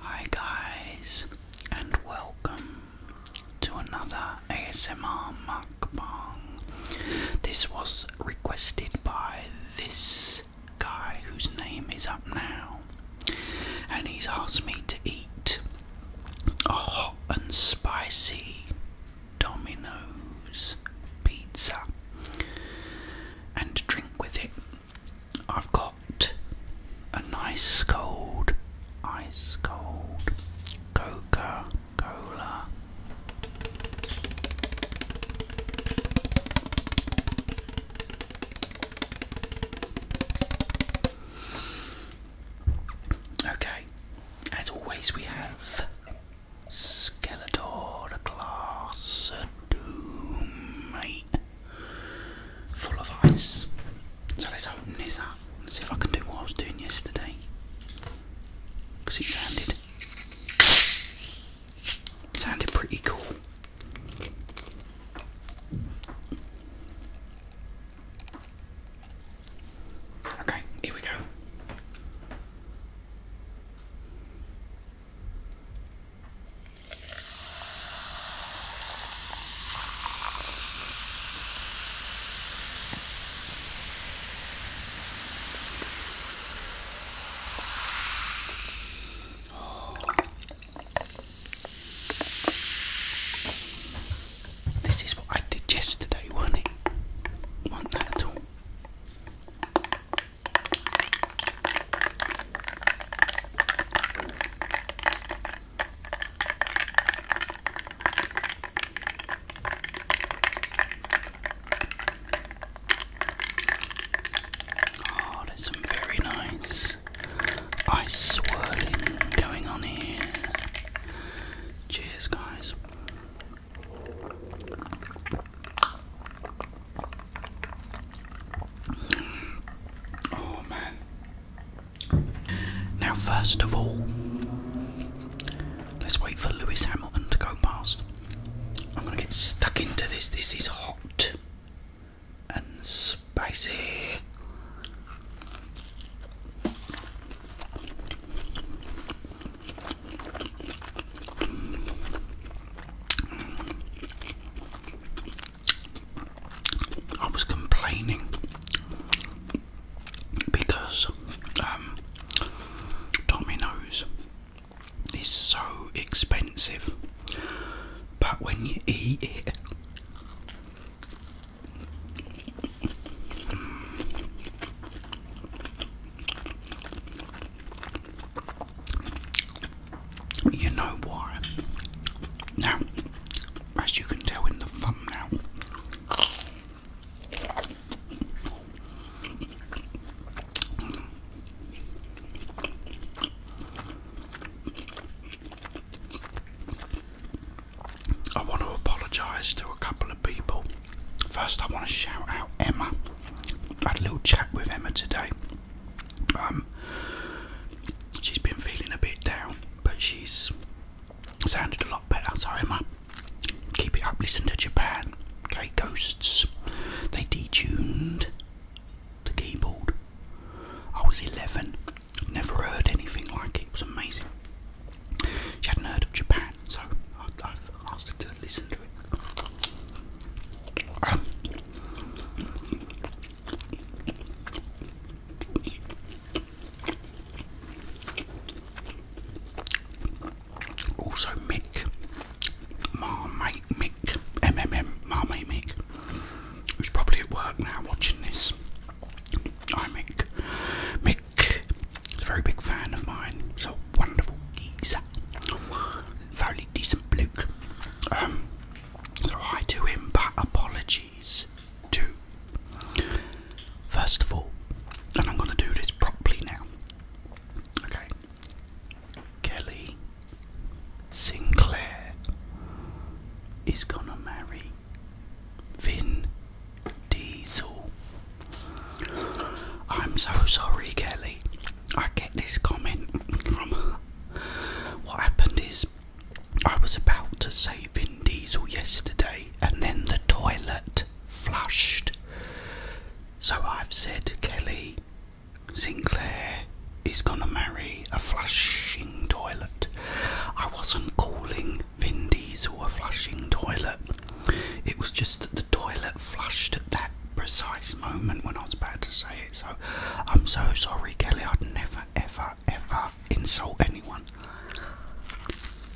Hi, guys, and welcome to another ASMR mukbang. This was requested by this guy whose name is up now, and he's asked me to eat a hot and spicy Domino's pizza and drink with it. I've got a nice cold, ice cold Coca Cola. Okay, as always, we have Skeletor, the glass of doom, mate. Full of ice. So let's open this up and see if I can do what I was doing yesterday. Because it Sounded pretty cool. Okay, here we go. This is what I did yesterday, wasn't that at all? Oh, there's very nice ice swirling going on here. Cheers, guys. Oh man. Now, first of all, let's wait for Lewis Hamilton to go past. I'm gonna get stuck into this. This is hot and spicy. I was complaining because um, Tommy knows. It's so expensive, but when you eat it, you know why. Now, as you can tell in the thumbnail, I want to apologise to a couple of people. First, I want to shout out Emma. I had a little chat with Emma today. Um, she's been feeling a bit down, but she's sounded a lot better. Sorry, Emma, Keep it up, listen to Japan. Okay, Ghosts. They detuned the keyboard. I was 11, never heard anything like it, it was amazing. She hadn't heard of Japan, so I've asked her to listen to it. Um, also Mick, Marmite Mick, MMM Marmite Mick, who's probably at work now watching this. Hi Mick. Mick is a very big fan of mine. He's a wonderful geezer. Fairly decent bloke. Um, so hi to him, but apologies to. First of all, and I'm going to do this properly now. Okay. Kelly Sinclair is gonna marry Vin Diesel. I'm so sorry, Kelly. I get this comment from what happened is I was about to say Vin Diesel yesterday, and then the toilet flushed. So I've said Kelly Sinclair is gonna marry a flushing toilet. I wasn't calling Vin Diesel a flushing toilet. It was just that the toilet flushed at that precise moment when I was about to say it. So I'm so sorry, Kelly. I'd never, ever, ever insult anyone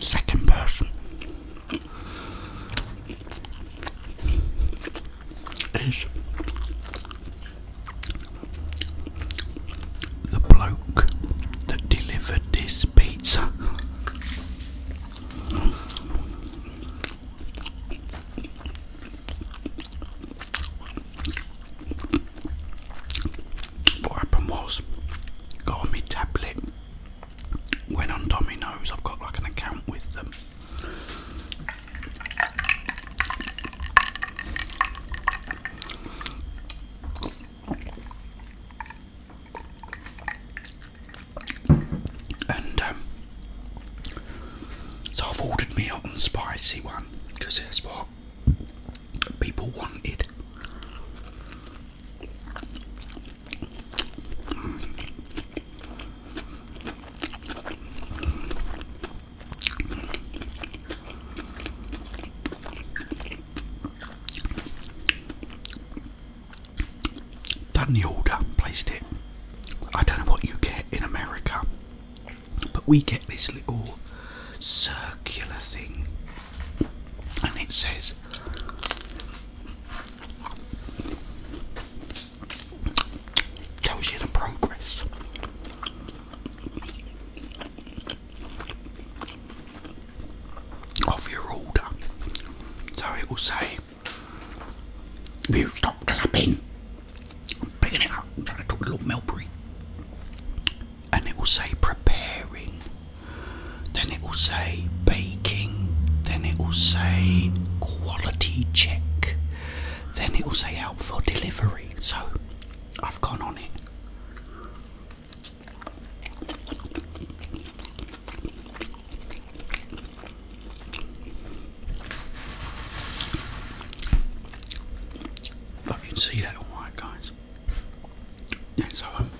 second person is the bloke that delivered this pizza. What happened was, got on tablet when on Domino's, I've got like an account with them. And um, so I've ordered me out the spicy one because that's what people wanted. Done the order, placed it. I don't know what you get in America, but we get this little circular thing and it says Tells you the progress. Of your order. So it will say, You stop clapping. I'm picking it up, trying to talk to Lord Melbury. And it will say, Preparing then it will say baking. Then it will say quality check. Then it will say out for delivery. So I've gone on it. Hope you see that alright guys. Yeah, so um,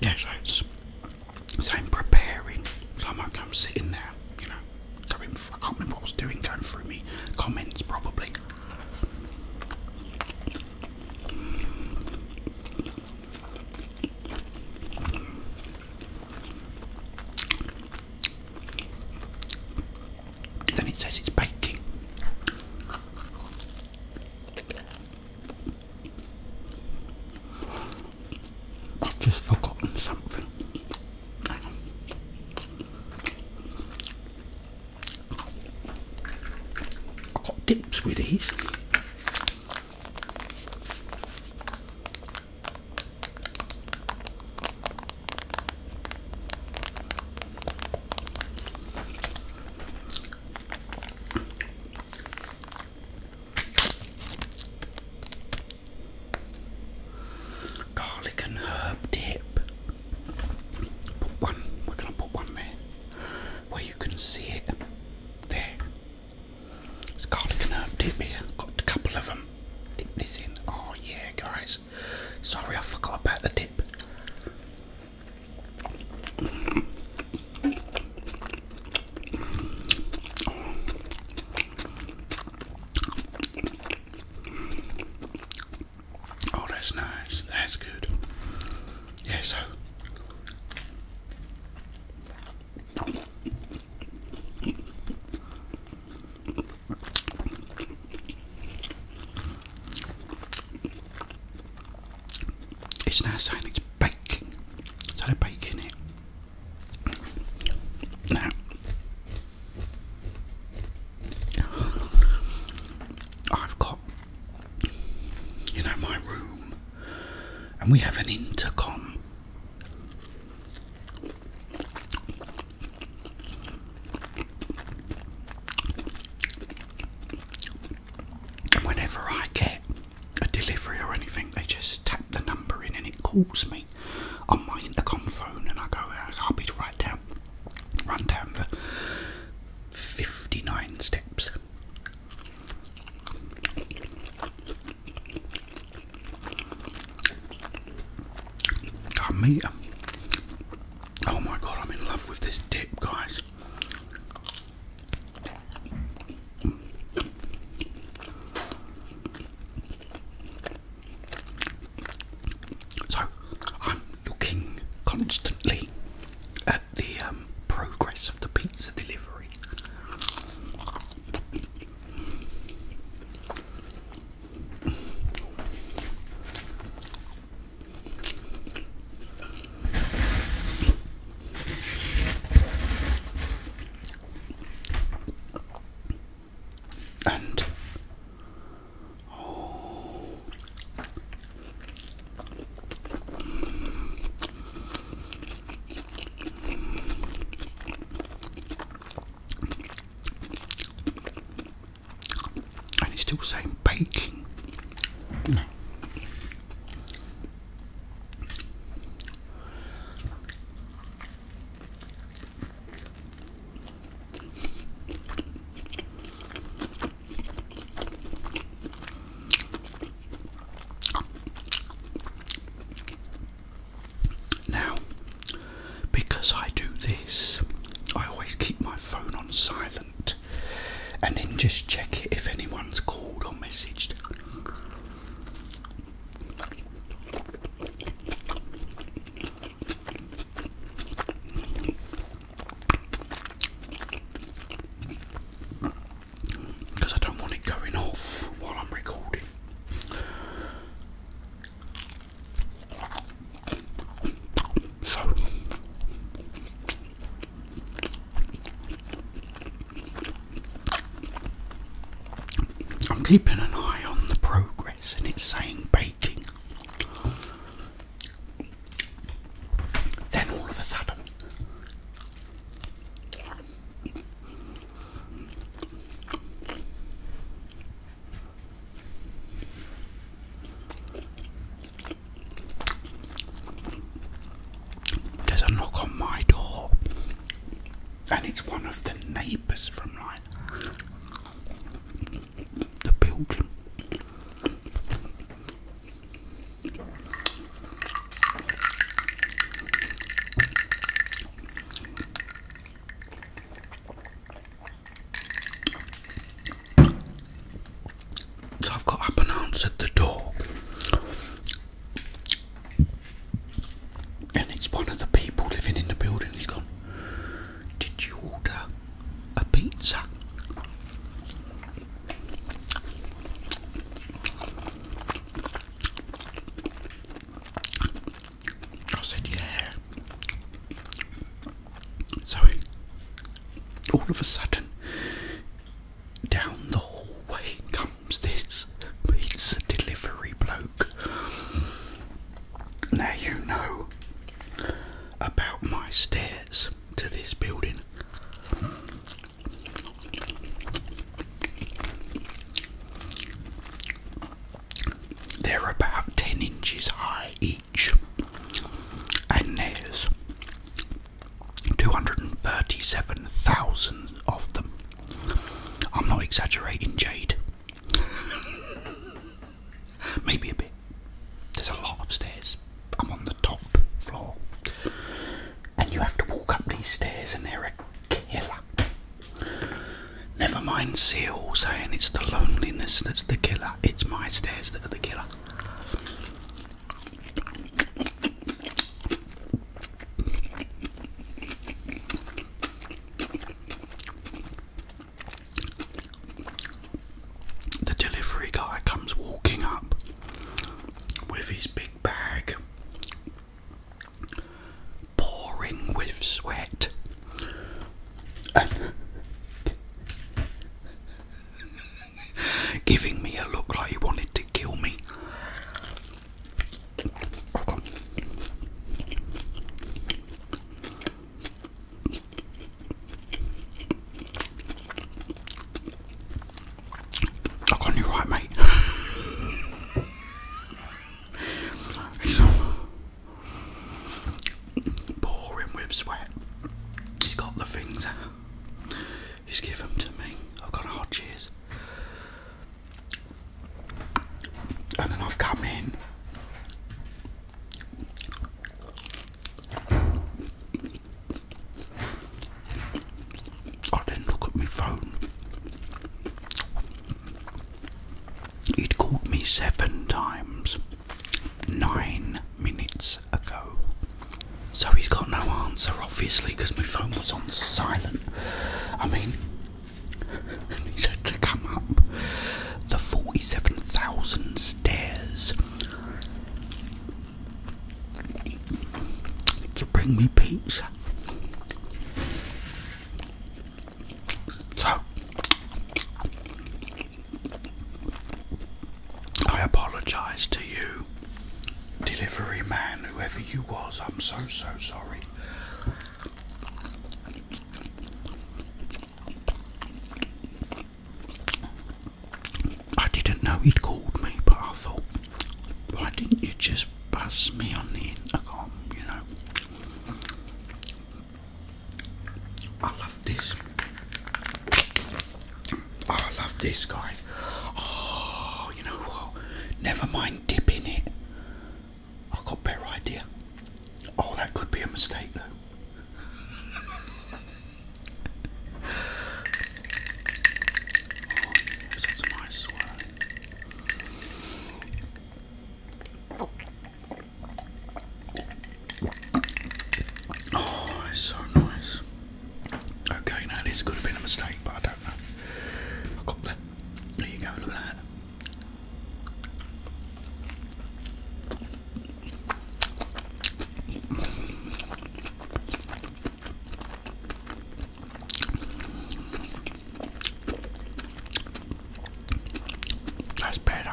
Yes, it's so I'm preparing. So I'm like, I'm sitting there, you know, going. I can't remember what I was doing. Going through me comments probably. Then it says it's baking. I've just forgotten something. I've got dips with these. Garlic and herb dip. Put one, we're going to put one there where you can see it. There. It's garlic and herb dip here. Got a couple of them. Dip this in. Oh, yeah, guys. Sorry, I forgot about the dip. Oh, that's nice. That's good. Yeah, It's nice saying it's baking. So they baking it. I've got, you know, my room, and we have an intercom. Whenever I get a delivery or anything. They just tap the number in and it calls me on my intercom phone, and I go out. I'll be right down, run down the fifty-nine steps. I meet him. Oh my god, I'm in love with this dip, guys. So I'm looking constantly at the um, progress of the pizza delivery. And oh, and it's still saying baking. Now, because I do this, I always keep my phone on silent and then just check if anyone's called or messaged. Because I don't want it going off while I'm recording. So, I'm keeping an eye on the progress, and it's saying baking. Then all of a sudden, there's a knock on my door, and it's one of the neighbours from like the building. So I've got up and at the door. And it's one of the people living in the building. He's gone, Did you order a pizza? I said, Yeah. So all of a sudden, down the hallway comes this pizza delivery bloke. Now you know about my stairs to this building. They're about 10 inches high each, and there's 237,000 of them. I'm not exaggerating, Jade. Maybe a bit. There's a lot of stairs. I'm on the top floor. And you have to walk up these stairs, and they're a killer. Never mind Seal saying it's the loneliness that's the killer, it's my stairs that are the killer. The delivery guy comes walking up with his big bag, pouring with sweat giving me a look like he wanted to kill me. right, mate. pouring with sweat. He's got the things He's given them to me. I've got hot cheese. And then I've come in. I didn't look at my phone. he called me seven times nine minutes ago. So he's got no answer, obviously, because my phone was on silent. I mean, he said to come up the 47,000 stairs to bring me pizza. So, I apologise to you, delivery man, whoever you was. I'm so, so sorry. I didn't know he'd called me, but I thought, why didn't you just buzz me on the intercom, you know? this. Oh, I love this, guys. Oh, you know what? Never mind dipping it. I've got a better idea. Oh, that could be a mistake, though. Oh, it's so nice. Okay, now this could have been a mistake, but I don't know. I got the. There you go, look at that. That's better.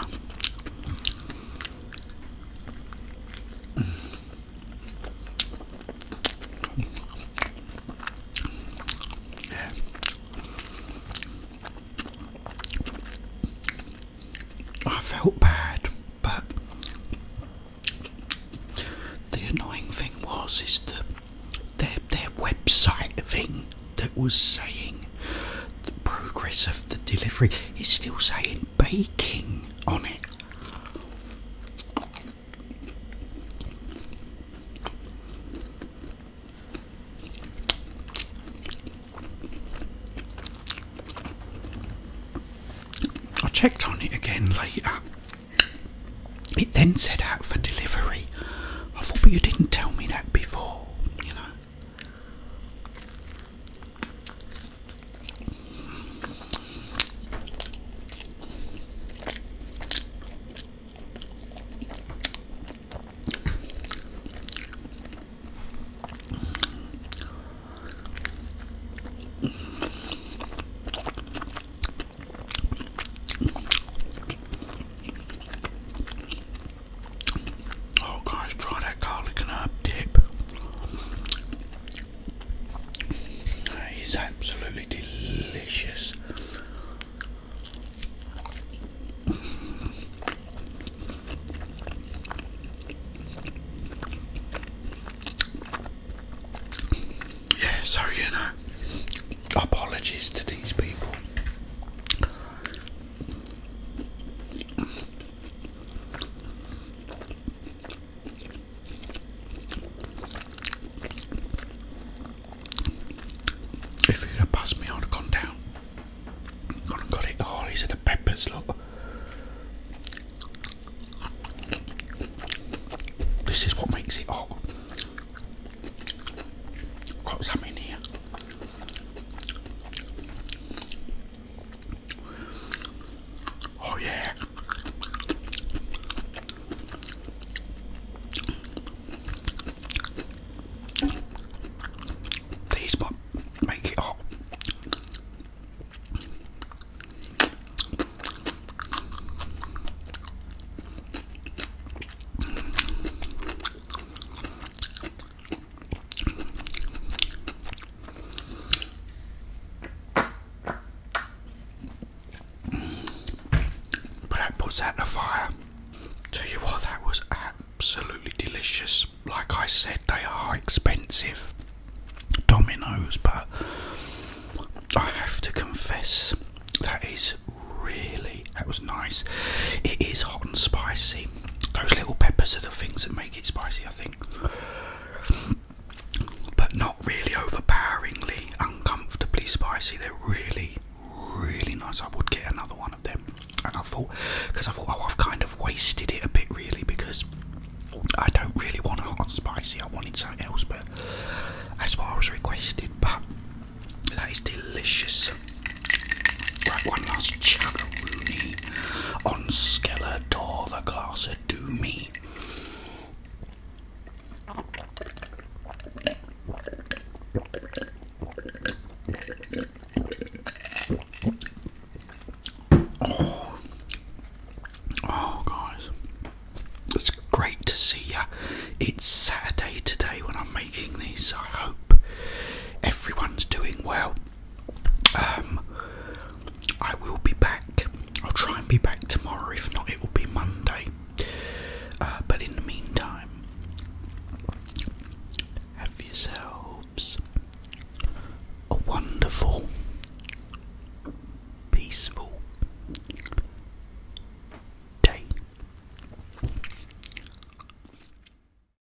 I felt bad, but the annoying thing was is the their their website thing that was saying the progress of the delivery is still saying baking on it. I checked on it again later. It then set out for delivery. I thought, but you didn't tell me that before, you know. Oh, guys, try that garlic and herb dip. That is absolutely delicious. Yeah, so you know, apologies to these people. If he'd have passed me, I'd have down. got it. Oh, he's in the peppers, look. This is what makes it hot. Got some here. Oh yeah. These make it hot. But that puts out the fire. Tell you what, that was absolutely delicious. Like I said, they are expensive dominoes, but I have to confess that is really that was nice. It is hot and spicy. Those little peppers are the things that make it spicy, I think. But not really overpoweringly, uncomfortably spicy. They're really, really nice. I would get another one of them. And I thought, because I thought, oh, I've kind of wasted it a bit, really, because I don't really want hot and spicy. I wanted something else, but that's what I was requested. But that is delicious one last chuggaroony on Skeletor, the glass of doomy. Oh. oh, guys, it's great to see you. It's Saturday today when I'm making this. I hope everyone's doing well. Um, I will be back. I'll try and be back tomorrow. If not, it will be Monday. Uh, but in the meantime, have yourselves a wonderful, peaceful day.